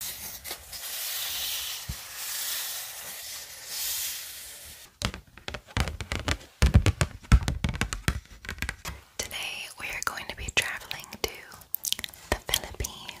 Today we are going to be traveling to the Philippines.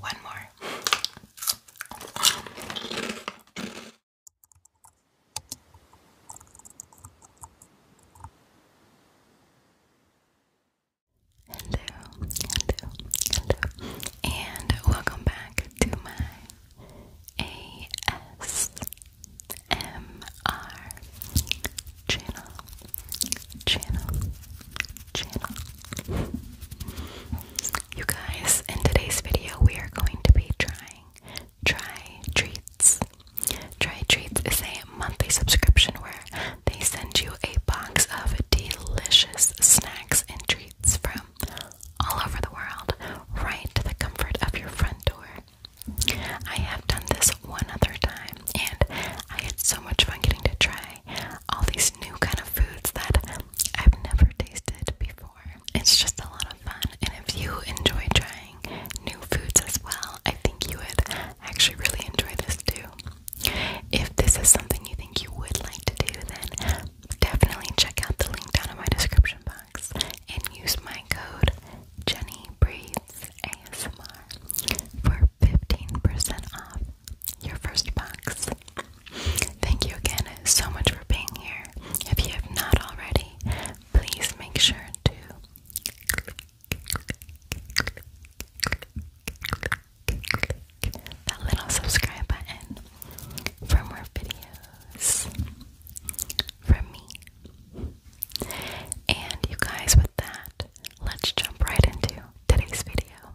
One more. Hello, hello, hello, and welcome back to my ASMR channel channel, channel. You guys, in today's video, we are going to be trying Try Treats. Try Treats is a monthly subscription where they send you a box of delicious snacks and treats from all over the world, right to the comfort of your front door. I have done this one other time, and I had so much fun getting to try all these these new kind of foods that I've never tasted before. It's just a lot of fun, and if you enjoy trying new foods as well, I think you would actually really enjoy this too. If this is something you think you would like to do, then definitely check out the link down in my description box and use my code Jenny Breeds ASMR for 15% off your first box. Thank you again so much for being here. If you have not already, please make sure to that little subscribe button for more videos from me. And you guys, with that, let's jump right into today's video.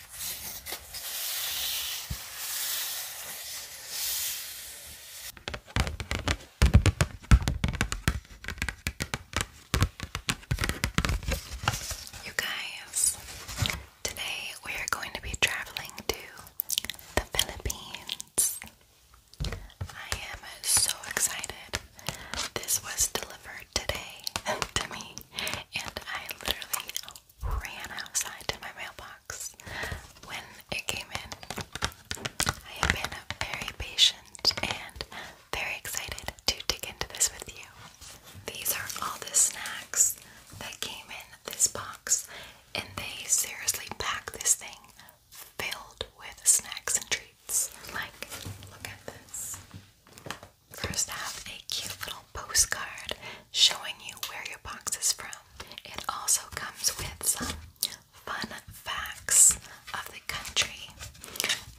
You guys, today we are going to be traveling to the Philippines. I am so excited. This was delivered today to me, and I literally ran outside to my mailbox when it came in. I have been very patient and very excited to dig into this with you. These are all the snacks that came in this box, and they seriously packed this thing filled with snacks and treats. Like, look at this. First, have a cute little postcard showing you where your box is from. It also comes with some fun facts of the country,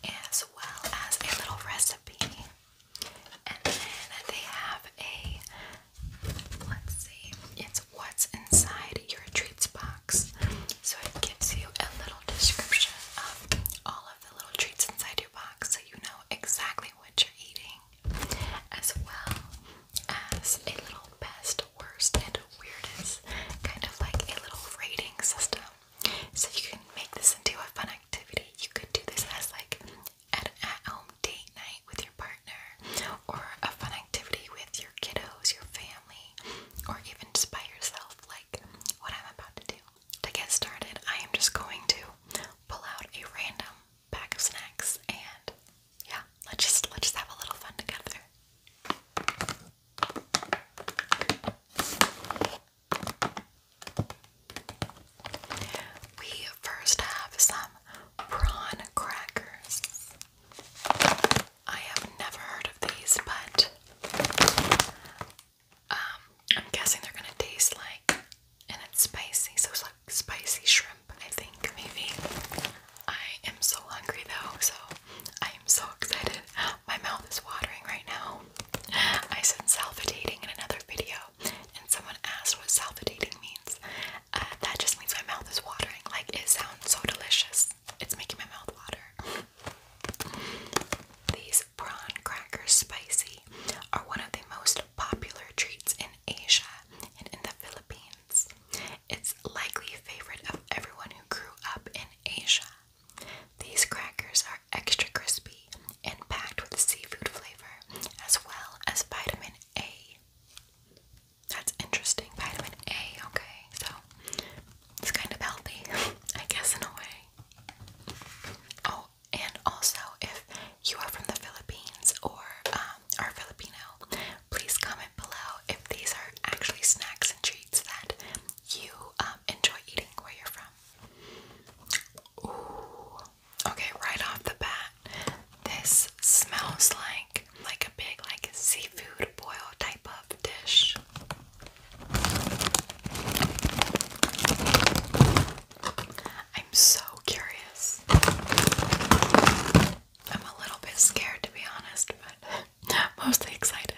as well as a little recipe. And then they have a let's see, it's what's inside your treats box. So it gives you a little description of all of the little treats inside your box so you know exactly what you're eating as well as a little best, worst, and weirdest kind of like a little rating system. So you can make this into a fun activity. You could do this as like an at-home date night with your partner, or a fun activity with your kiddos, your family, or even just by yourself. Like what I'm about to do. To get started, I am just going to pull out a random pack of snacks and yeah, let's just let's just have a little fun together. We first have some prawn crackers. I have never heard of these, but um, I'm guessing they're gonna taste like and it's spicy, so it's like spicy shrimp, I think, maybe. I am so hungry though, so I am so excited. My mouth is watering right now. I said salivating in another video, and someone asked what salivating means. Uh, that just means my mouth is watering. Like, it sounds so delicious. It's making my mouth water. These prawn crackers spicy are one of the most popular treats in Asia and in the Philippines. It's likely a favorite of everyone who grew up in Asia. These crackers are extra crispy and packed with seafood flavor as well as vitamin A. That's interesting, vitamin A, okay, so it's kind of healthy, I guess, in a way. Oh, and also, if you are from the Philippines or um, are Filipino, please comment below if these are actually snacks and treats that you um, enjoy eating where you're from. Okay, right off the bat, this smells like like a big like seafood boil type of dish. I'm so curious. I'm a little bit scared to be honest, but mostly excited.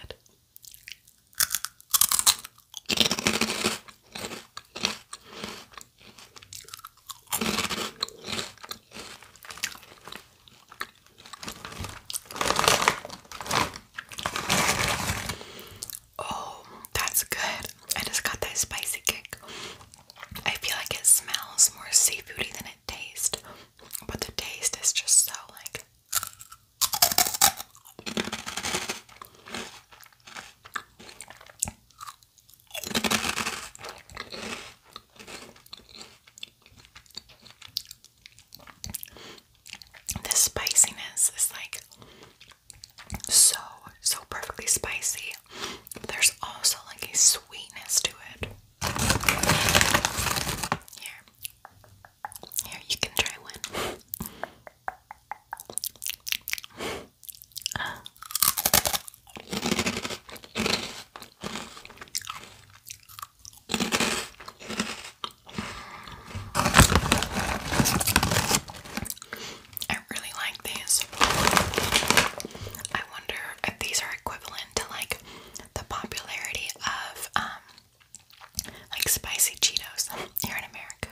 Oh, that's good. I just got that spicy kick. I feel like it smells more seafoody than it tastes, but the taste is just so like. The spiciness is like so, so perfectly spicy. there's also like a sweetness to it. Here. Here, you can try one. I really like these. I wonder if these are equivalent to like the popularity of um, like spicy Cheetos here in America.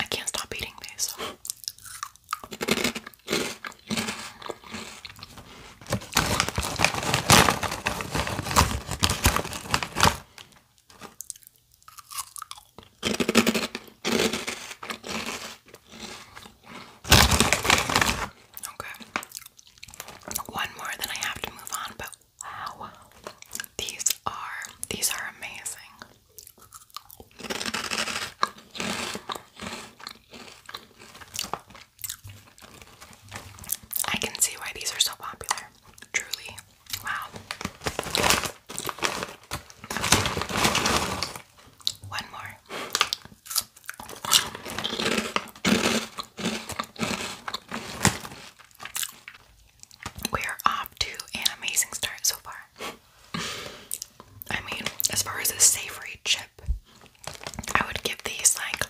I can't stop eating these. One more, then I have to move on, but wow. These are these are amazing. I can see why these are so popular. Truly. Wow. One more. We are off to an amazing start so far. I mean, as far as a savory chip, I would give these like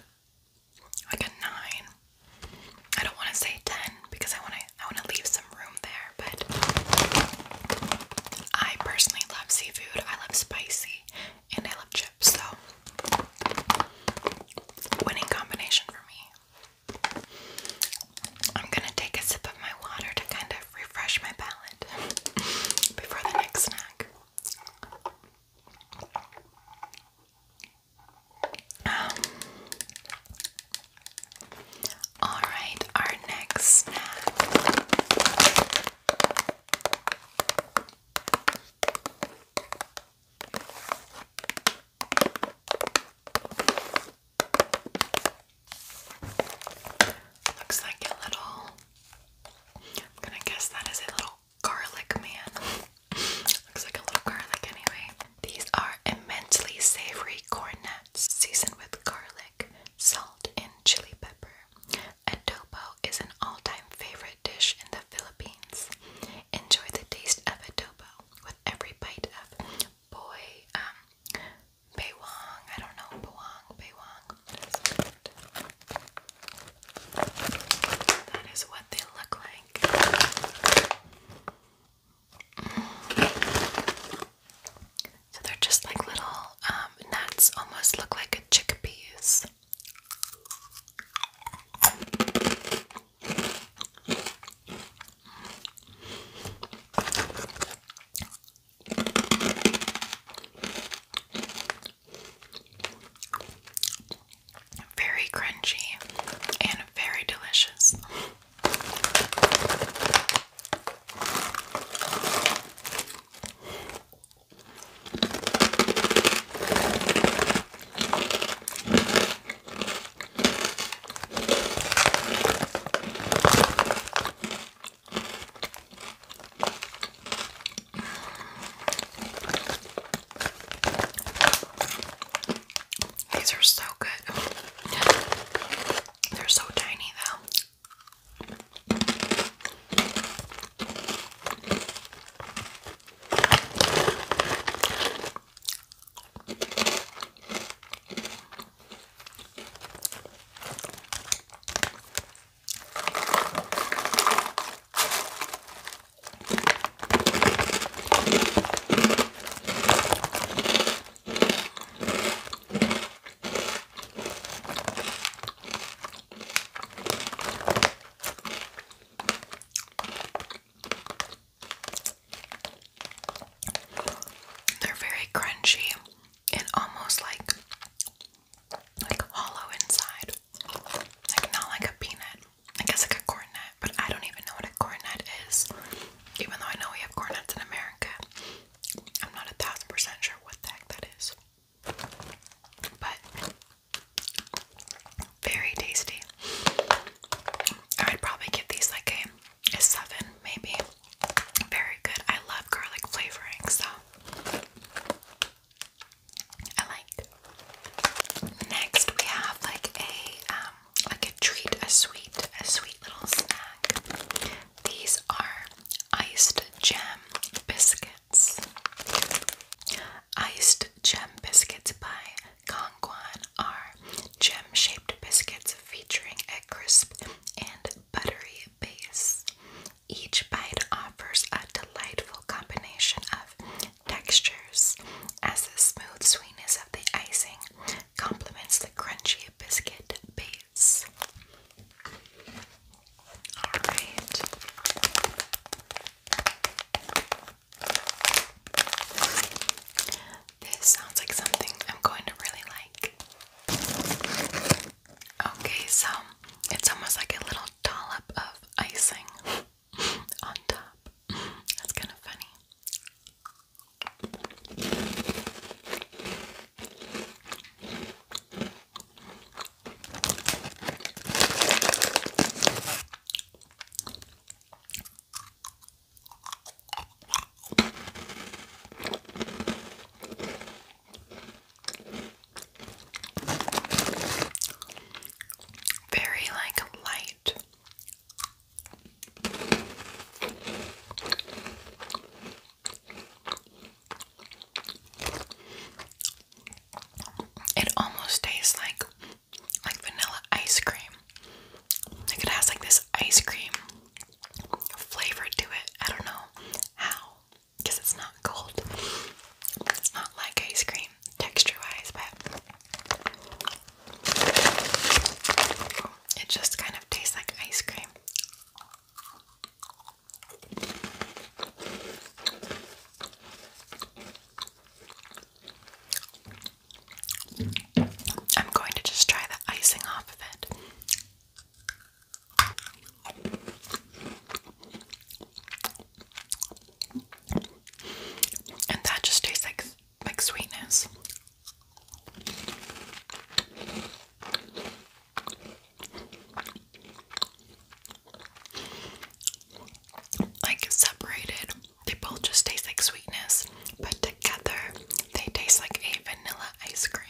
like a nine. I don't want to say ten because I want to I want to leave some room there, but I personally love seafood. I love spicy and I love chips, so winning combination for me. I'm gonna take a sip of my water to kind of refresh my palate before the next snack. Um, all right, our next snack. Looks like a little. I'm gonna guess that is a little garlic man. Looks like a little garlic anyway. These are immensely savory cornets seasoned with garlic, salt, and chili pepper. Adobo is an all-time favorite dish in the Philippines. Enjoy the taste of adobo with every bite of boy, um, baywang, I don't know, bawang, baywang. That is what they look like. So they're just like little um, nuts, almost look like chickpeas. Very crunchy and very delicious. These are so good. They're so tiny though. They're very crunchy and almost like like hollow inside. Like not like a peanut. I guess like a cornet, but I don't even know what a cornet is. Even though I know we have cornets in America, I'm not a thousand percent sure what the heck that is. But very tasty. I would probably give these like a, a seven, maybe. Very good. I love garlic flavoring, so I like. Next, we have like a um, like a treat, a sweet, a sweet little snack. These are iced gem biscuits. Iced gem biscuits by Kongguan are gem-shaped biscuits featuring a crisp and buttery base. Each bite offers a delightful combination of textures, as the smooth sweetness of the icing complements the crunchy biscuit base. Alright. This sounds like something I'm going to really like. Okay, so it's almost like a little dollop of icing on top. That's kind of funny. Very like light. It almost tastes like like vanilla ice cream. Like it has like this ice cream flavor to it. I don't know how because it's not cold. It's not like ice cream texture wise, but it just kind of tastes like ice cream. I'm going to just try the icing off of it. And that just tastes like like sweetness. Like separated, they both just taste like sweetness, but together they taste like a vanilla ice cream.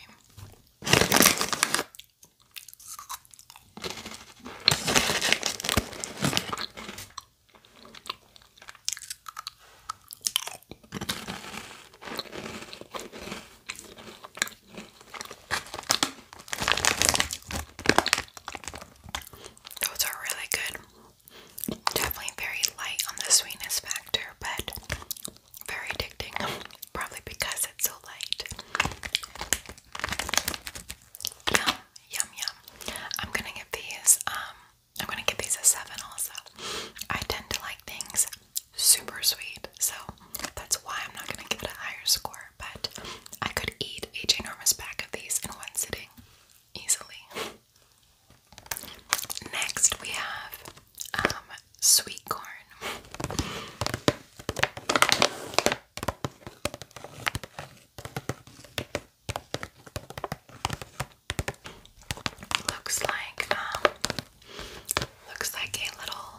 Those are really good. Definitely very light on the sweetness factor, but very addicting. Probably because it's so light. Yum yum. I'm gonna give these um I'm gonna give these a seven also. I tend to like things super sweet, so that's why I'm not gonna give it a higher score, but I could eat a ginormous pack of these in one sitting easily. Next we have um, sweet corn. Looks like um looks like a little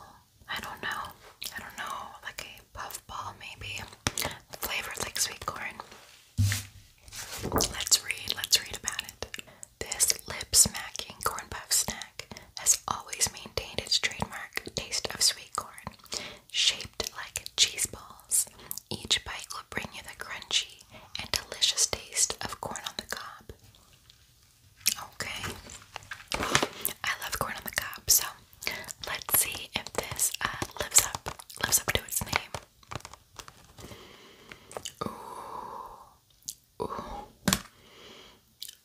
I don't know. I don't know, like a puffball maybe. Flavored like sweet corn. Let's read, let's read about it. This lip smacking corn puff snack has always maintained its trademark taste of sweet corn, shaped like cheese balls each bite will bring you the crunchy and delicious taste of corn on the cob. Okay. I love corn on the cob, so let's see if this uh, lives up lives up to its name. Ooh. Ooh.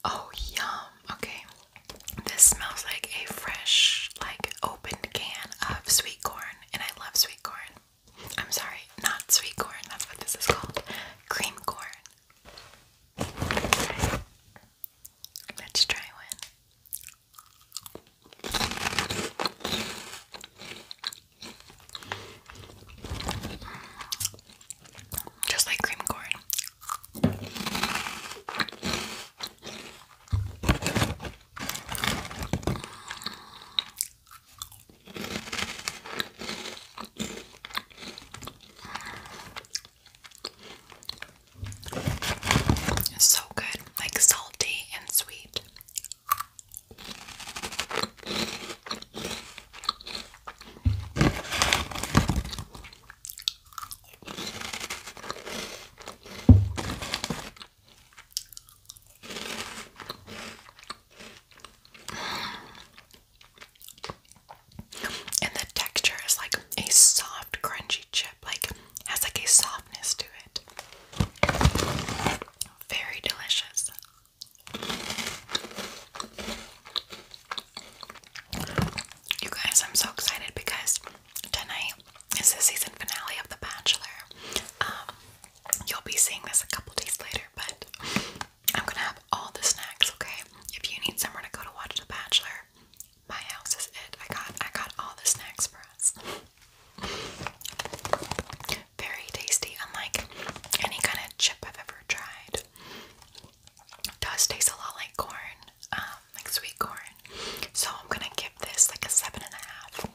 Oh yum. Okay. This smells like a fresh like opened can of sweet corn, and I love sweet corn. I'm sorry, not sweet corn, that's what this is called. Cream corn. Let's try one. Mm. Just like cream corn. It's so good, like salty and sweet. And the texture is like a soft, crunchy chip, like has like a softness to it. Very delicious. You guys, I'm so excited because tonight is the season finale of The Bachelor. Um, you'll be seeing this a couple days later, but I'm gonna have all the snacks, okay? If you need somewhere to go to watch The Bachelor, my house is it. I got I got all the snacks for us. Very tasty, unlike any kind of chip I've ever tried. It does taste a lot like corn. Um, like sweet corn. So I'm gonna give this like a seven and a half.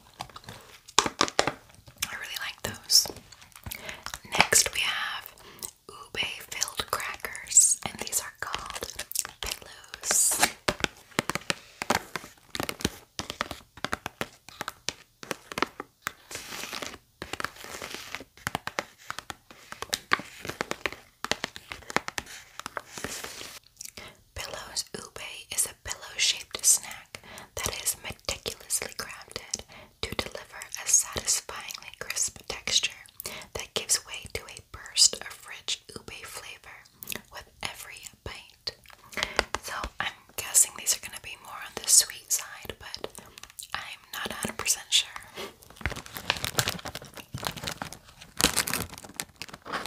I really like those. Next we have ube filled crackers, and these are called pillows. Pillows Ube is a pillow shaped snack that is meticulously crafted to deliver a satisfyingly crisp texture that gives way to a burst of rich ube flavor with every bite. So I'm guessing these are going to be more on the sweet side, but I'm not 100% sure. It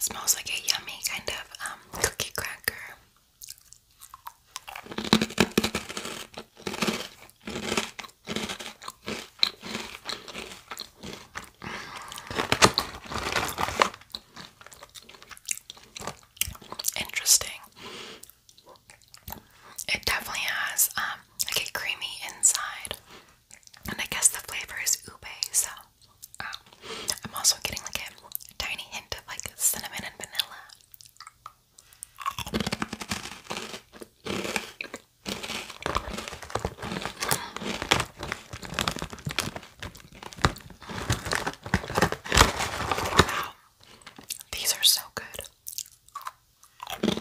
smells like a yummy kind of um, cookie cracker. Interesting. It definitely has um, like a creamy inside, and I guess the flavor is ube. So um, I'm also getting like a tiny hint of like cinnamon and vanilla. Wow. These are so good. I really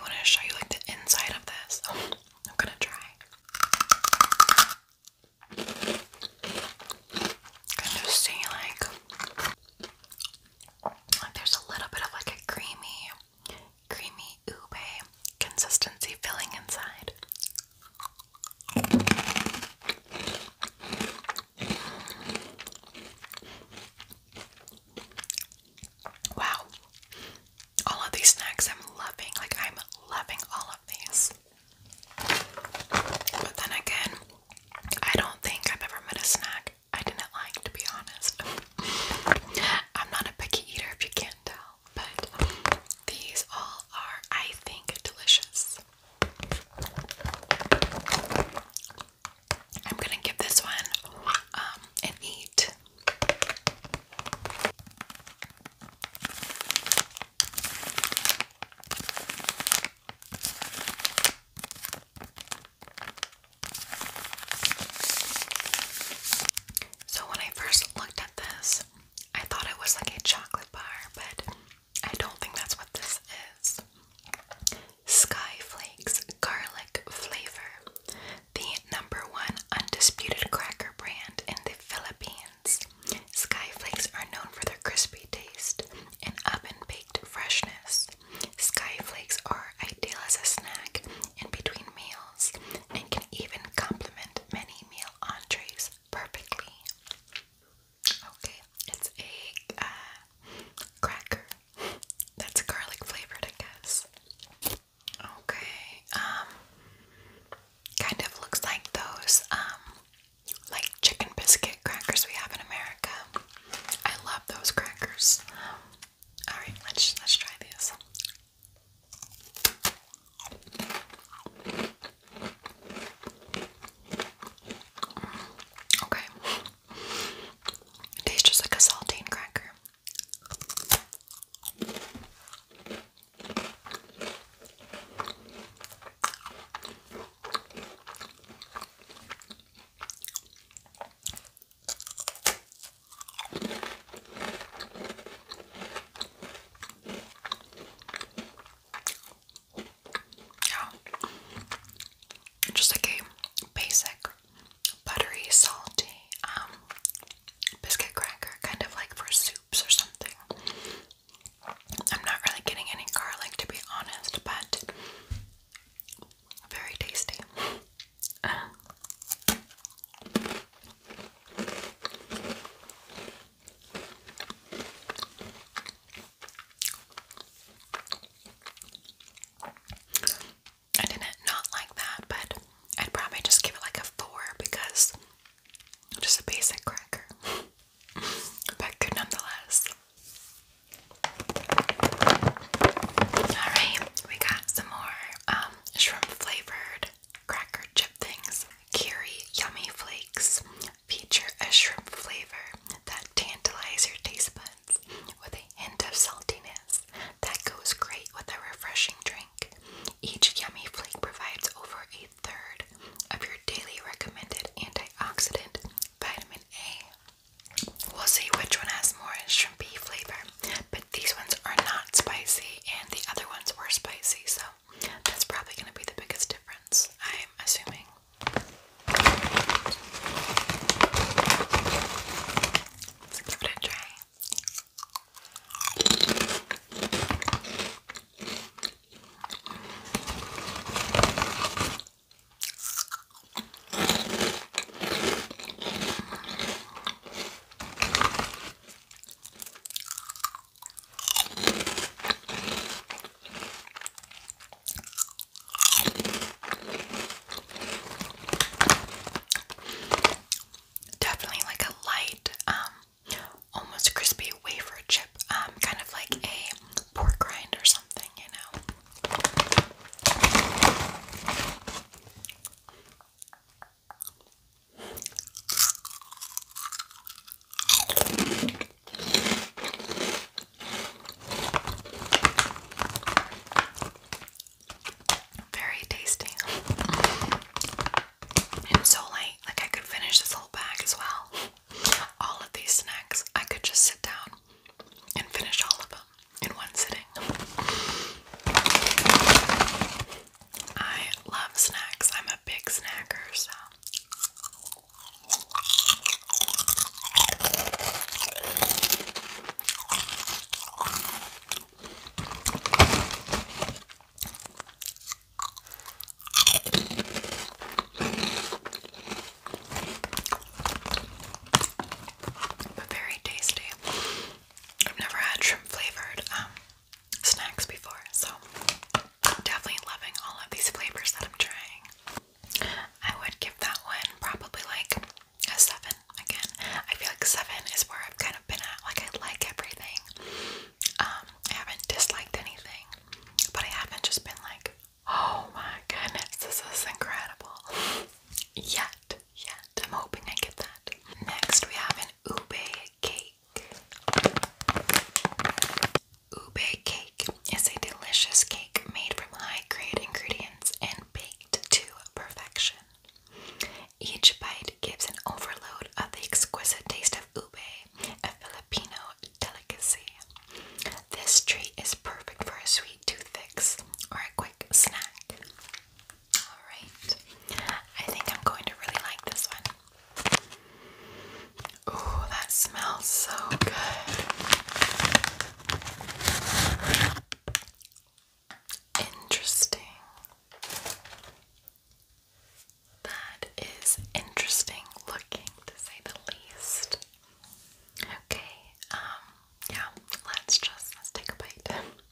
want to show you like the inside of this. I'm gonna try. Can you see like there's a little bit of like a creamy, creamy ube consistency filling inside. Wow. All of these snacks I'm loving. Like I'm loving all of these. But then again, I don't think I've ever met a snack I didn't like, to be honest. I'm not a picky eater if you can't tell, but these all are, I think, delicious. I'm gonna give this one um, an eight. So when I first looked at this, I thought it was like a chocolate bar, but I don't think that's what this is. Skyflakes Garlic Flavor, the number one undisputed cracker brand in the Philippines. Skyflakes are known for their crispy taste and oven baked freshness. Skyflakes are ideal as a snack in between meals and can even complement many meal entrees perfectly. Okay, it's a uh, cracker that's garlic flavored, I guess. Okay, um, kind of looks like those, um, like chicken biscuit crackers we have in America. I love those crackers. Alright, let's let's try this. Mm, okay. tastes just like a saltine cracker. Yeah. Just like a basic buttery, salty, um, biscuit cracker, kind of like for soups or something. I'm not really getting any garlic to be honest, but very tasty. I didn't not like that, but I'd probably just give it like a four because just a basic cracker. but good nonetheless. Alright, we got some more um, shrimp flavored cracker chip things. Kiri Yummy Flakes feature a shrimp flavor that tantalizes your taste buds with a hint of saltiness that goes great with a refreshing drink. Each yummy flake provides over a third of your daily recommended antioxidant vitamin A. We'll see which one has more shrimpy flavor. But these ones are not spicy, and the other ones were spicy, so that's probably going to be the biggest difference, I'm assuming. Let's give it a try. Definitely like a light, um, almost crispy wafer chip, um, kind of like a pork rind or something, you know. Very tasty. so late, like I could finish this whole bag as well. All of these snacks, I could just sit down and finish all of them in one sitting. I love snacks. I'm a big snacker, so but very tasty. I've never had shrimp flavored um, snacks before, so definitely loving all of these flavors that I'm trying. I would give that one probably like a seven. Again, I feel like seven is where I've kind of been at. Like I like everything. Um, I haven't disliked anything, but I haven't just been like, oh my goodness, this is incredible. Yet, yet. I'm hoping I get that. Next, we have an ube cake. Ube cake is a delicious cake made from high grade ingredients and baked to perfection. Each bite gives an overload of the exquisite taste of ube, a Filipino delicacy. This treat is perfect for a sweet toothpicks or a quick snack. Alright. I think I'm going to really like this one. Ooh, that smells so good. Interesting. That is interesting looking to say the least. Okay, um, yeah, let's just let's take a bite.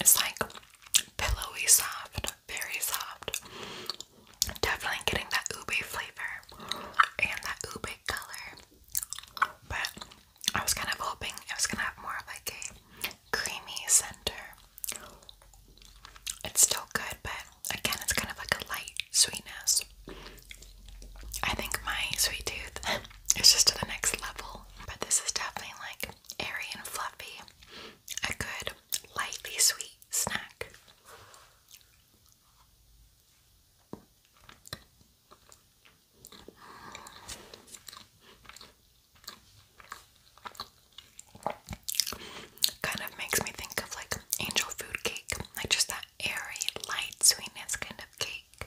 It's like pillowy soft, very soft. Definitely getting that ube flavor and that ube color. But I was kind of hoping it was gonna have more of like a creamy center. It's still good, but again, it's kind of like a light sweetness. I think my sweet tooth it's just to the next level. But this is definitely like airy and fluffy, a good lightly sweet snack. Kind of makes me think of like angel food cake, like just that airy, light sweetness kind of cake.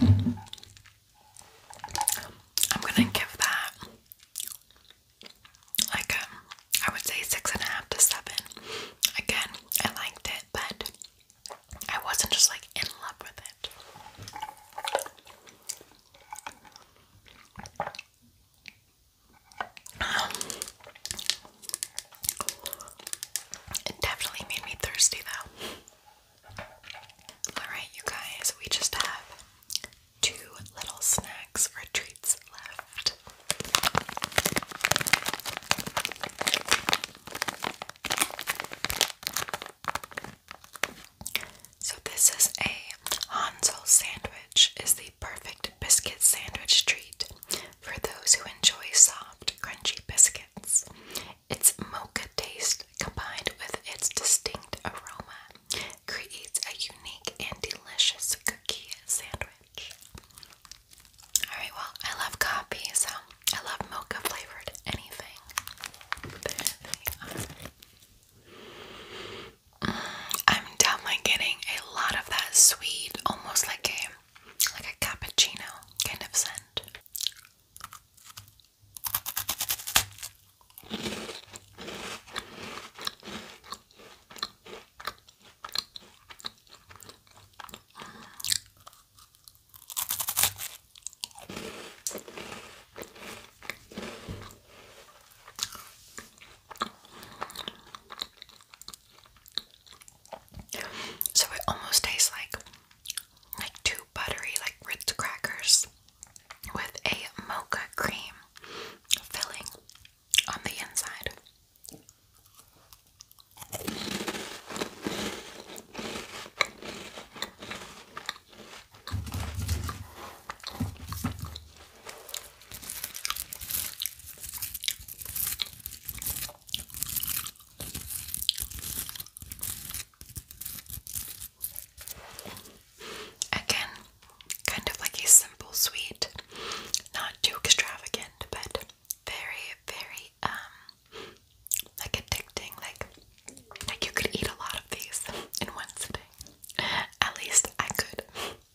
I'm gonna give that like um I would say six and a half to seven. Again, I liked it, but I wasn't just like in love with it. Um, it definitely made me thirsty though. Alright, you guys, we just have two little snacks or treats left. So, this is a Hansel sandwich sandwich is the perfect biscuit sandwich treat for those who enjoy soft, crunchy biscuits. Its mocha taste combined with its distinct aroma creates a unique and delicious cookie sandwich. Alright, well, I love coffee, so I love mocha flavored anything. I'm definitely getting a lot of that sweet, almost like a like a cappuccino kind of scent. So it almost tastes like like two buttery like Ritz crackers with a mocha cream filling on the inside. Again, kind of like a simple sweet, not too extravagant, but very, very um, like addicting. Like like you could eat a lot of these in one sitting. At least I could.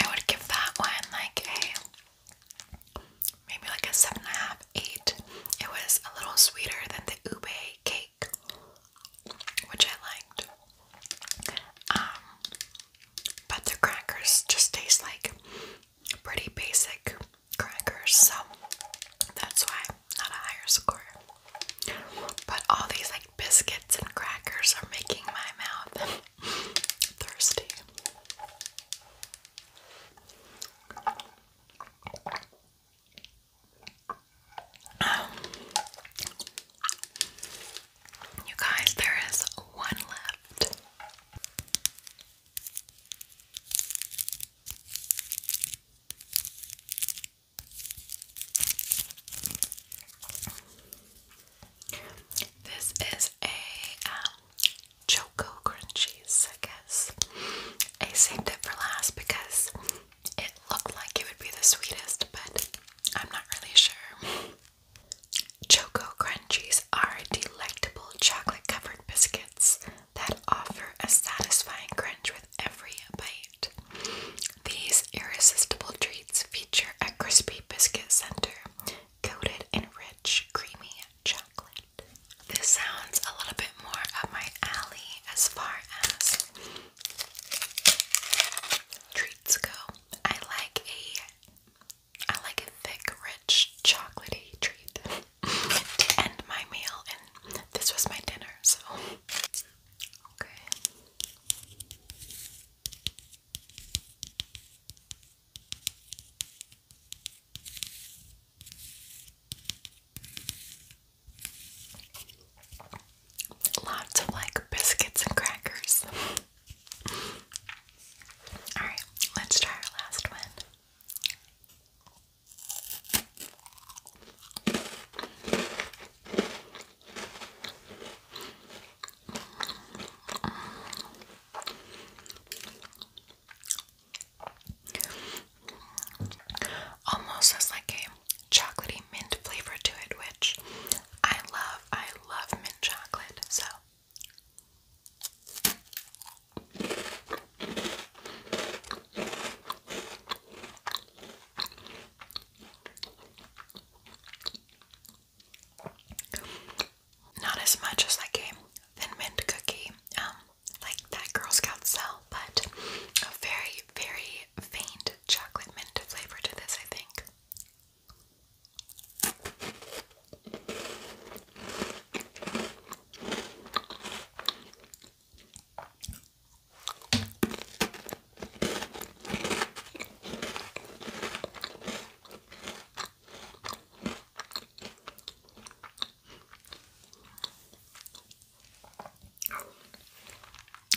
I would give that one like a maybe like a seven and a half, eight. It was a little sweeter than the ube cake, which I liked. Um, but the crackers just taste like pretty basic crackers, so that's why not a higher score. But all these like biscuits and crackers are making my mouth thirsty. Um, you guys, there is one left. This is a um, Choco Crunchies, I guess. I saved it for last because it looked like it would be the sweetest, but I'm not really sure. Choco Crunchies are delectable chocolate covered biscuits that offer a satisfying crunch with every bite. These irresistible treats feature a crispy biscuit center coated in rich, creamy chocolate. This sounds a little bit more of my alley as far as treats go. I like a I like a thick, rich, chocolatey treat to end my meal, and this was my dinner, so. Okay. Lots of like biscuits and crackers. Alright, let's try our last one. Almost has like a chocolatey mint flavor to it, which I love. I love mint chocolate, so not as much as like a thin mint cookie, um, like that Girl Scout sell, but a very, very faint chocolate mint flavor to this, I think.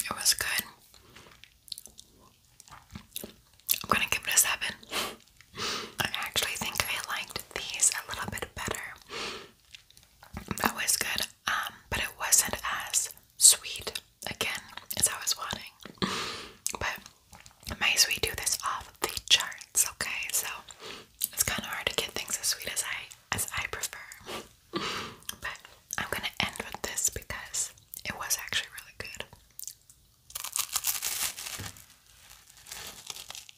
It was good. I'm gonna give it a seven. I actually think I liked these a little bit better that was good, um, but it wasn't as sweet again as I was wanting. But my sweet tooth is off the charts, okay? So it's kind of hard to get things as sweet as I as I prefer. But I'm gonna end with this because it was actually really good.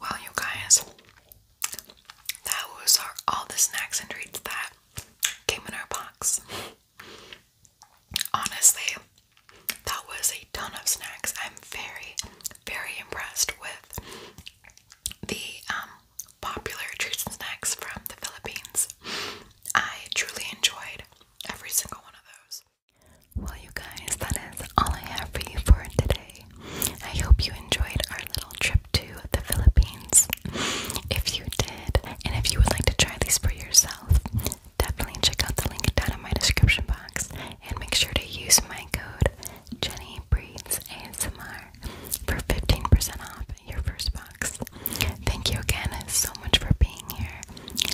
Well, you guys, that was all the snacks and treats that came in our box. Honestly, that was a ton of snacks. I'm very, very impressed with the um, popular treats and snacks from the Philippines. I truly enjoyed every single one of those. Well, you guys, that is all I have for you for today. I hope you enjoyed our little trip to the Philippines. If you did, and if you would like to try these for yourself, definitely check out the link down in my description box and make sure to use my code Jenny Breeds ASMR for 15% off your first box. Thank you again so much for being here.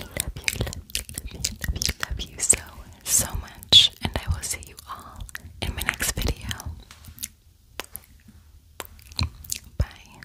Love you, love you, love you so, so much, and I will see you all in my next video. Bye.